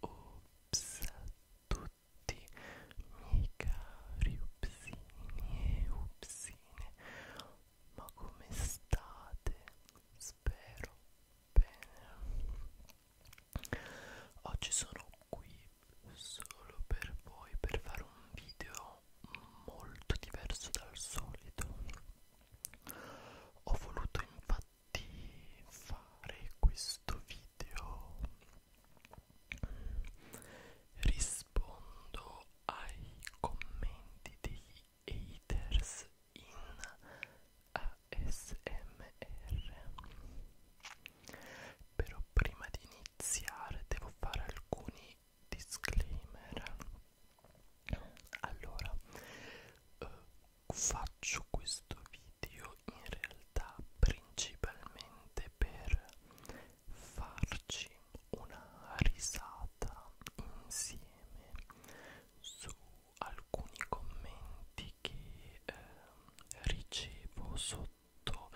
Ops a tutti miei cari upsini e upsine ma come state? Spero bene Oggi sono qui solo per voi per fare un video molto diverso dal solito ho voluto infatti fare questo video rispondo ai commenti degli haters in ASMR però prima di iniziare devo fare alcuni disclaimer allora eh, faccio questo video in realtà principalmente per farci una risata insieme su alcuni commenti che eh, ricevo sotto sotto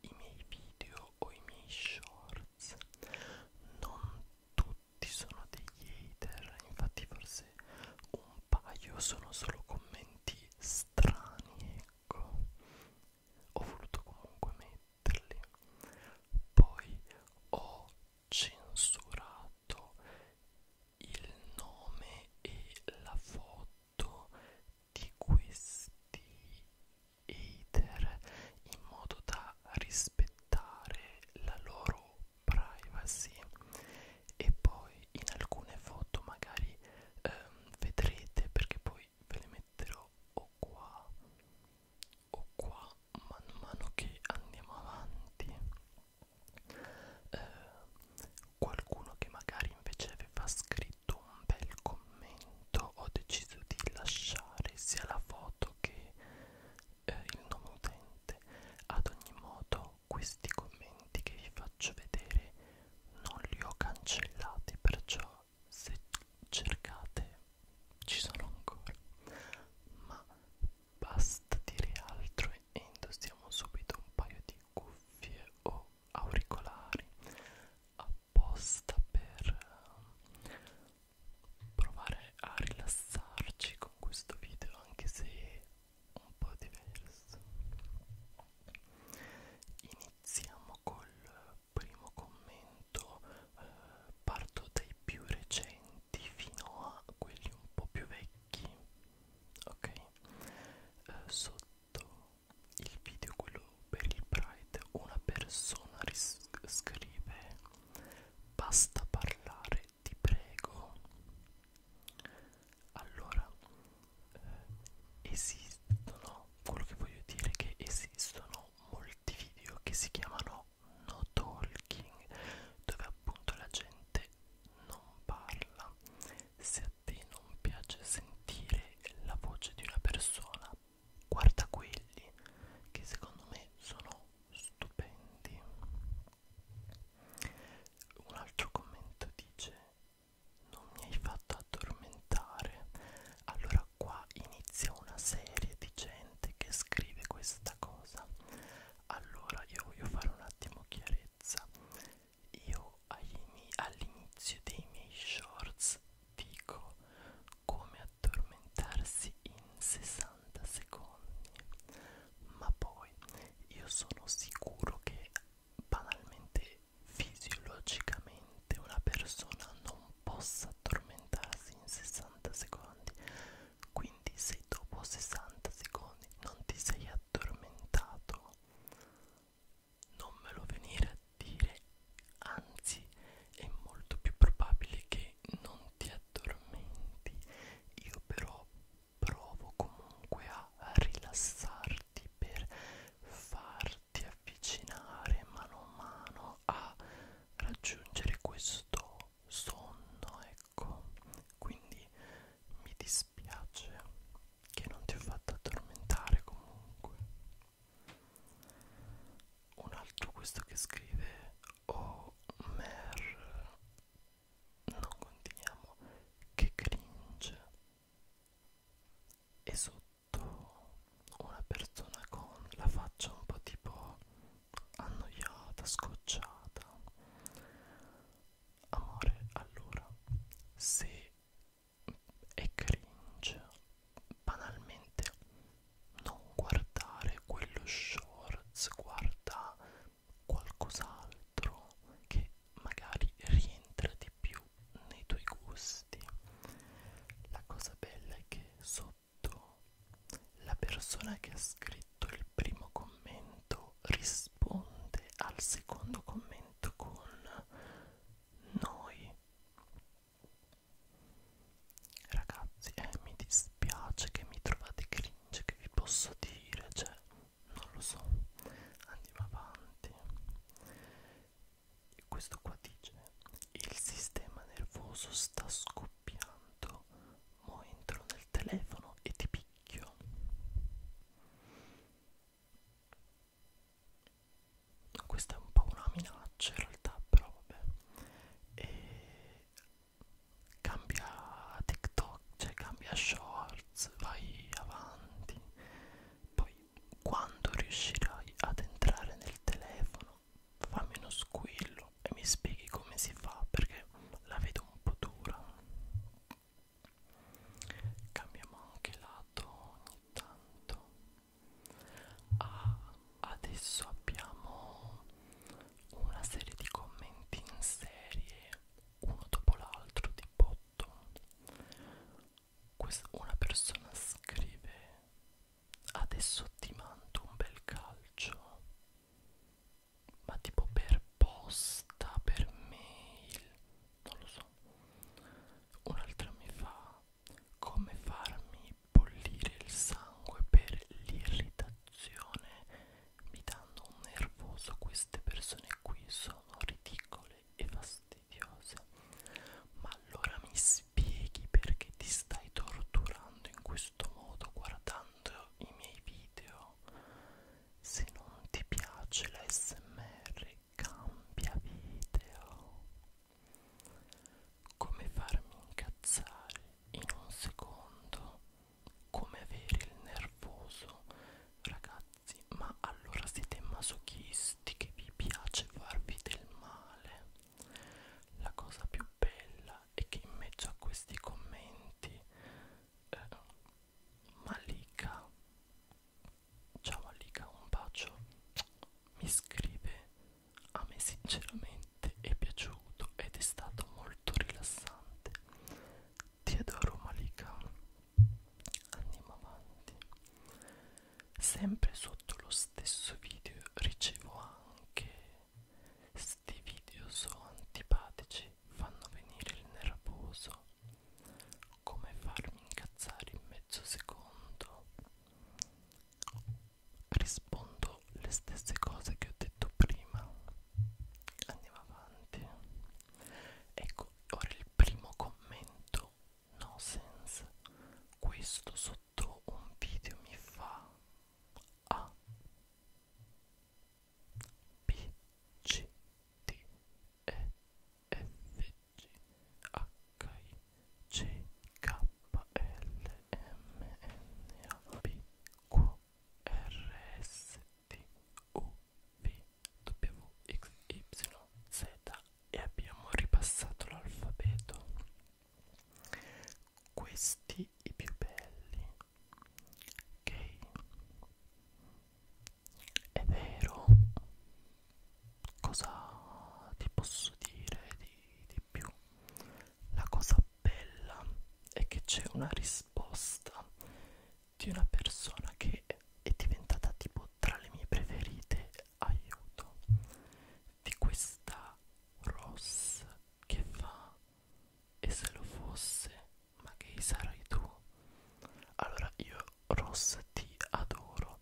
i miei video o i miei shorts non tutti sono degli hater infatti forse un paio sono solo commenti strani ecco ho voluto comunque metterli poi ho censurato il nome e la foto contatto di questi hater in modo da rispettare la loro privacy e poi in alcune foto magari ehm, vedrete perché poi ve le metterò o qua o qua man mano che andiamo avanti eh, qualcuno che magari invece aveva scritto scritto un bel commento ho deciso di lasciare sia la foto che eh, il nome utente ad ogni modo questi commenti che vi faccio vedere non li ho cancellati perciò se cercate ci sono ancora ma basta dire altro e indossiamo subito un paio di cuffie o auricolari a apposta per ehm, provare a rilassarci con questo video anche se un po' diverso iniziamo col primo commento eh, parto dai più recenti fino a quelli un po' più vecchi ok eh, sotto il video quello per il Pride una persona scrive basta parlare ti prego allora eh, esistono quello che voglio dire è che esistono molti video che si chiamano no talking dove appunto la gente non parla si te non piace sentire la voce di una persona, guarda quelli che secondo me sono stupendi. Un altro commento dice non mi hai fatto addormentare. Allora qua inizia una serie di gente che scrive questa cosa. Allora io voglio fare un attimo chiarezza io all'inizio dei miei shorts dico come addormentarsi in 60 secondi ma poi io sono sicuro che banalmente fisiologicamente una persona non possa addormentarsi in 60 secondi quindi se dopo 60 secondi non ti sei addormentato non me lo venire a dire, anzi è molto più probabile che non ti addormenti. Io però provo comunque a rilassarti per farti avvicinare mano a mano a raggiungere questo sonno, ecco. Quindi mi dispiace dispiace che non ti ho fatto addormentare comunque un altro questo che scrive o oh, mer non continuiamo che cringe e sotto una persona con la faccia un po' tipo annoiata scocciata Amore, allora, se è cringe, banalmente non guardare quello shorts, guarda qualcos'altro che magari rientra di più nei tuoi gusti. La cosa bella è che sotto la persona che ha scritto il primo commento commento risponde al secondo commento con noi ragazzi eh, mi dispiace che mi trovate cringe che vi posso dire cioè non lo so andiamo avanti e questo qua dice il sistema nervoso sta scoppiando mo entro nel telefono e ti picchio questa è un po' una minaccia in realtà, però vabbè. E cambia TikTok, cioè cambia Shorts, vai avanti. Poi quando riuscirai ad entrare nel telefono, fammi uno squillo e mi spieghi come si fa perché la vedo un po' dura. Cambiamo anche lato ogni tanto. Ah, adesso abbiamo una serie di commenti in serie, uno dopo l'altro, di botto. Questa, una persona scrive: Adesso ti mando un bel calcio ma tipo per posta, per mail, non lo so. Un'altra mi fa come farmi bollire il sangue per l'irritazione. Mi danno un nervoso queste persone qui, sono ridicole e fastidiose. Ma allora mi spieghi perché ti stai torturando in questo modo guardando i miei video? Se non ti piace l'ASMR cambia video. Come farmi incazzare in un secondo? Come avere il nervoso? Ragazzi, ma allora siete masochisti che vi piace farvi del male? La cosa più bella è che in mezzo a questi commenti eh, Malika ciao Malika un bacio mi scrive a me sinceramente è piaciuto ed è stato molto rilassante ti adoro Malika andiamo avanti sempre sotto lo stesso video ricevo anche Sti video so antipatici fanno venire il nervoso. Come farmi incazzare in mezzo secondo? Rispondo le stesse cose che ho detto prima. Andiamo avanti. Ecco, ora il primo commento no sense. Questo sotto un video mi fa a B, C, D, E, F, G, H, I, J, K, L, M, N, A, P, Q, R, S, T, U, V, W, X, Y, Z e abbiamo ripassato l'alfabeto questi i più belli ok è vero cosa ti posso dire di, di più la cosa bella è che c'è una risposta di una persona che è diventata tipo tra le mie preferite aiuto di questa Ross che fa e se lo fosse, ma che sarai tu? Allora io, Ross, ti adoro.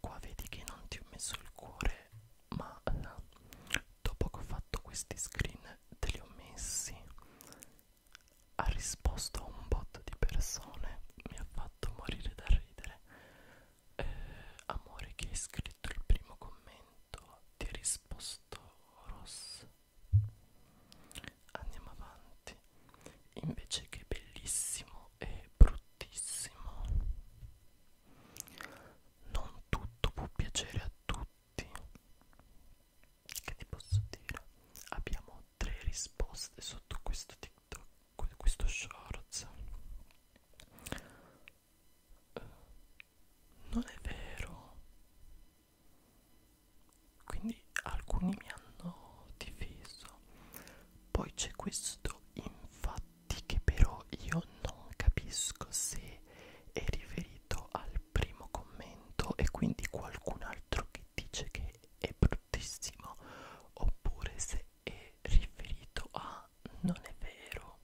Qua vedi che non ti ho messo il cuore, ma eh, dopo che ho fatto questi screen te li ho messi. Ha risposto a un botto di persone, mi ha fatto morire da ridere. Eh, amore, chi ha scritto il primo commento? pronto, ti ha risposto Ross. Andiamo avanti. Invece che bellissimo e bruttissimo. Non tutto può piacere a tutti. Che ti posso dire? Abbiamo tre risposte sotto questo TikTok, questo shorts non è vero quindi alcuni mi hanno difeso poi c'è questo infatti che però io non capisco se è riferito al primo commento e quindi qualcun altro che dice che è bruttissimo oppure se è riferito a non è vero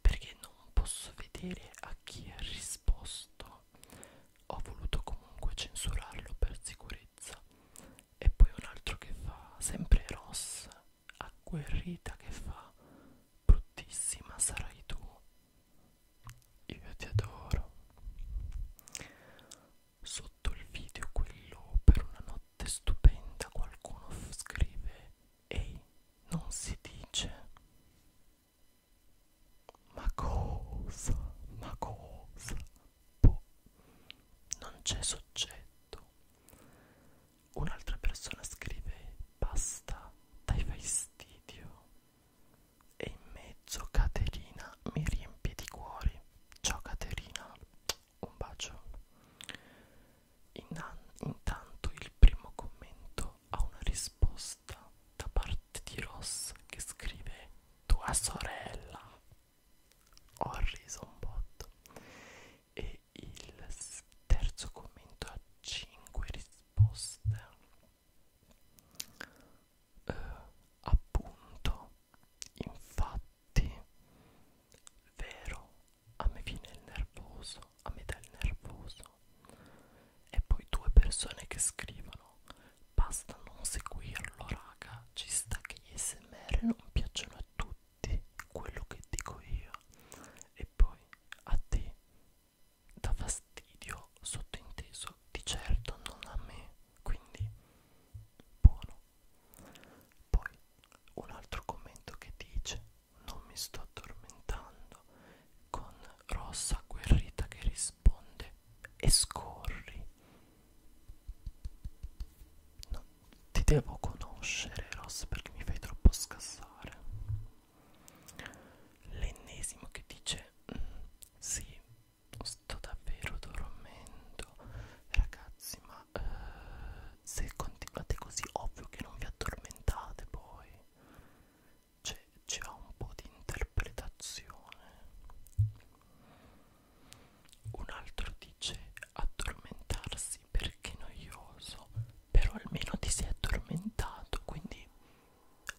perché non posso vedere a chi ha risposto ho voluto comunque censurarlo per sicurezza e poi un altro che fa sempre Ross agguerrita che fa bruttissima sarai tu io ti adoro sotto il video quello per una notte stupenda qualcuno scrive Ehi, non si dice. Ma cosa? Ma cosa? Boh. Non c'è soggetto. Un'altra persona scrive basta, dai fastidio. E in mezzo Caterina mi riempie di cuori. Ciao Caterina, un bacio. Intanto il primo commento ha una risposta da parte di Ross che scrive Tua sorella. Ho riso un botto. E il terzo commento ha 5 risposte. Uh, appunto, infatti, vero, a me viene il nervoso, a me dà il nervoso. E poi due persone che scrivono, basta non seguirlo raga, ci sta che gli smr non piacciono a tutti, quello che dico io. E poi a te dà fastidio, sottointeso, di certo non a me, quindi buono. Poi un altro commento che dice non mi sto addormentando con rossa guerrita che risponde e scorri no, ti devo conoscere rossa perché mi fai troppo scassare l'ennesimo che dice mm, sì sto davvero dormendo ragazzi ma eh, se continuate così ovvio che non vi addormentate poi c'è un po' di interpretazione un altro dice addormentarsi perché noioso però almeno ti sei addormentato quindi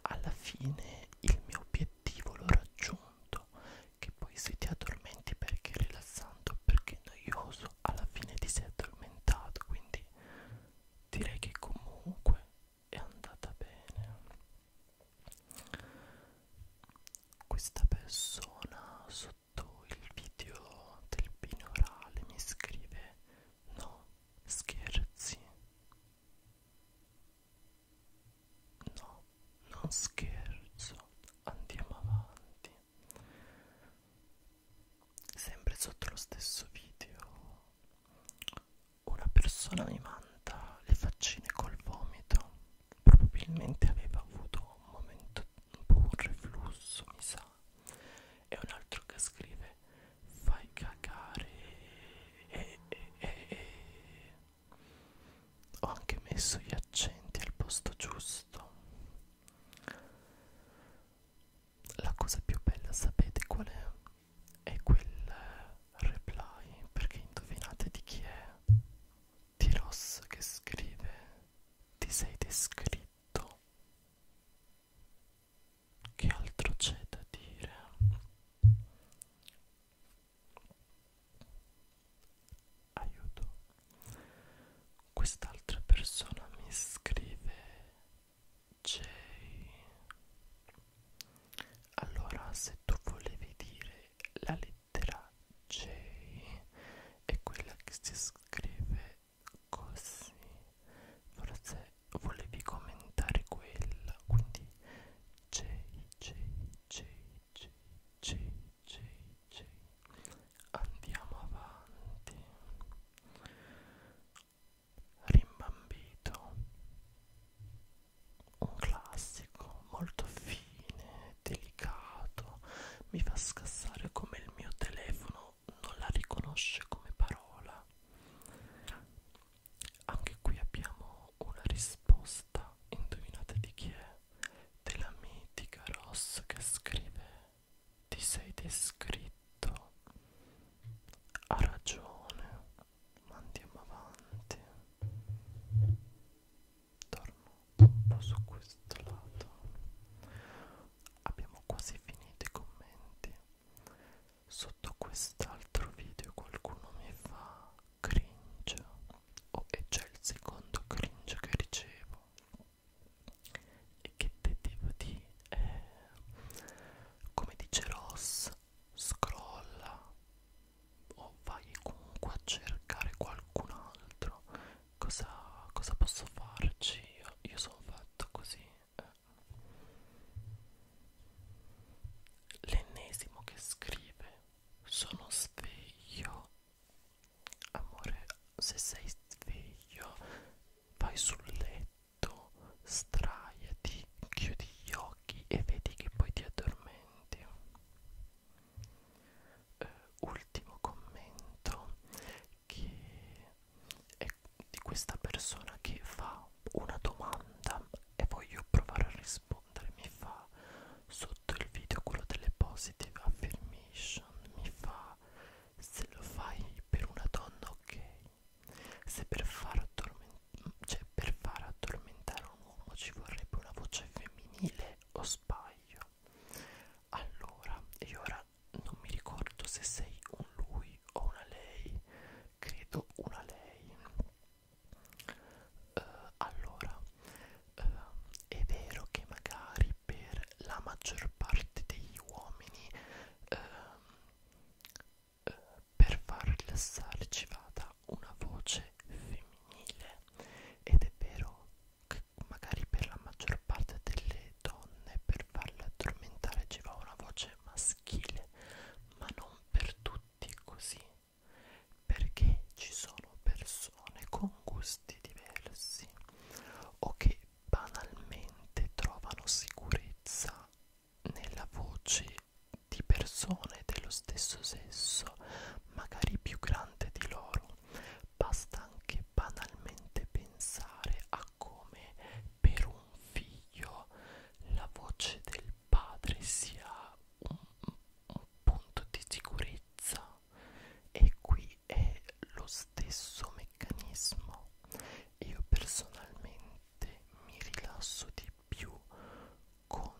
alla fine il mio obiettivo l'ho raggiunto che poi se ti addormenti perché è rilassante o perché è noioso alla fine ti sei addormentato quindi direi che comunque è andata bene questa persona sotto il video del binorale mi scrive no scherzi no non scherzo andiamo avanti sempre sotto lo stesso video una persona mi manda le faccine col vomito probabilmente aveva avuto un momento un po' un reflusso mi sa e un altro che scrive fai cagare e, e, e, e. ho anche messo gli accenti al posto giusto la cosa più bella sapete qual è? È quel eh, reply, perché indovinate di chi è? Di Ross che scrive, ti sei descritto. Che altro c'è da dire? aiuto quest'altra persona mi scrive Jay allora se tu volevi dire la lettera J è quella che si scrive così forse volevi commentare quella quindi J J J J J JJ andiamo avanti rimbambito un classico molto fine delicato mi fa scassare come il mio telefono non la riconosce come parola anche qui abbiamo una risposta indovinate di chi è della mitica Ross che scrive ti sei descritto ha ragione ma andiamo avanti torno un po' su questo lato abbiamo quasi finito i commenti sotto quest'altro video qualcuno mi fa cringe oh, e c'è il secondo cringe che ricevo e che te devo dire è, eh, come dice Ross scrolla o vai comunque a cercare qualcun altro cosa, cosa posso farci io, io sono fatto così eh. l'ennesimo che scrive sono sveglio Amore, se sei sveglio, vai sul letto, straiati, chiudi gli occhi e vedi che poi ti addormenti. Eh, ultimo commento che è di questa persona che fa una domanda e voglio provare a rispondere rispondere mi fa sotto il video quello delle positive affirmation mi fa se lo fai per una donna ok se per far, addorment cioè, per far addormentare un uomo ci vorrebbe una voce femminile o sbaglio allora e ora non mi ricordo se sei un lui o una lei credo una lei Uh, allora, uh, è vero che magari per la maggior parte degli uomini uh, uh, per far rilassare ci vada una voce femminile ed è vero che magari per la maggior parte delle donne per farle addormentare ci va una voce maschile ma non per tutti così perché ci sono persone con gusti diversi o che banalmente trovano sicurezza nella voce di persone dello stesso sesso, magari più grande di loro. Basta anche banalmente pensare a come per un figlio la voce del padre sia un, un punto di sicurezza e qui è lo stesso meccanismo io personalmente mi rilasso di più con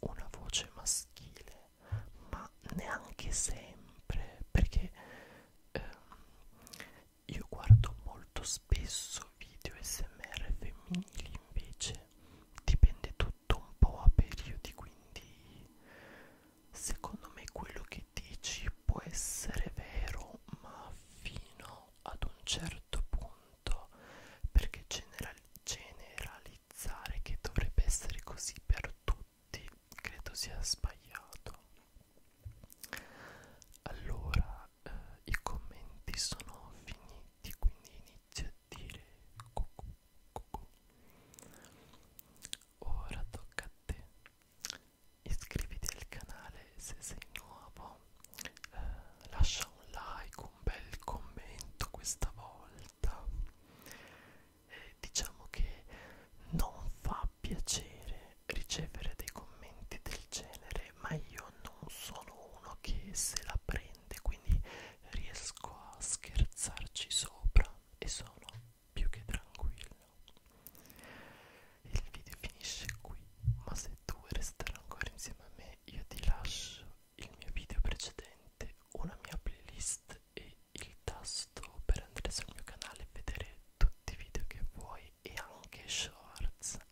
una voce maschile ma neanche sempre perché ehm, io guardo molto spesso video smr femminili invece dipende tutto un po' a periodi quindi secondo me quello che dici può essere vero ma fino ad un certo punto perché general generalizzare che dovrebbe essere così per tutti credo sia sbagliato allora eh, i commenti sono finiti quindi inizio a gattine cucù, cucù. ora tocca a te iscriviti al canale se sei nuovo eh, lascia un like un bel commento questa volta eh, diciamo che non fa piacere ricevere dei commenti del genere ma io non sono uno che se la prende divertente quindi riesco a scherzarci sopra e sono più che tranquillo il video finisce qui ma se tu vuoi restare ancora insieme a me io ti lascio il mio video precedente una mia playlist e il tasto per andare sul mio canale e vedere tutti i video che vuoi e anche shorts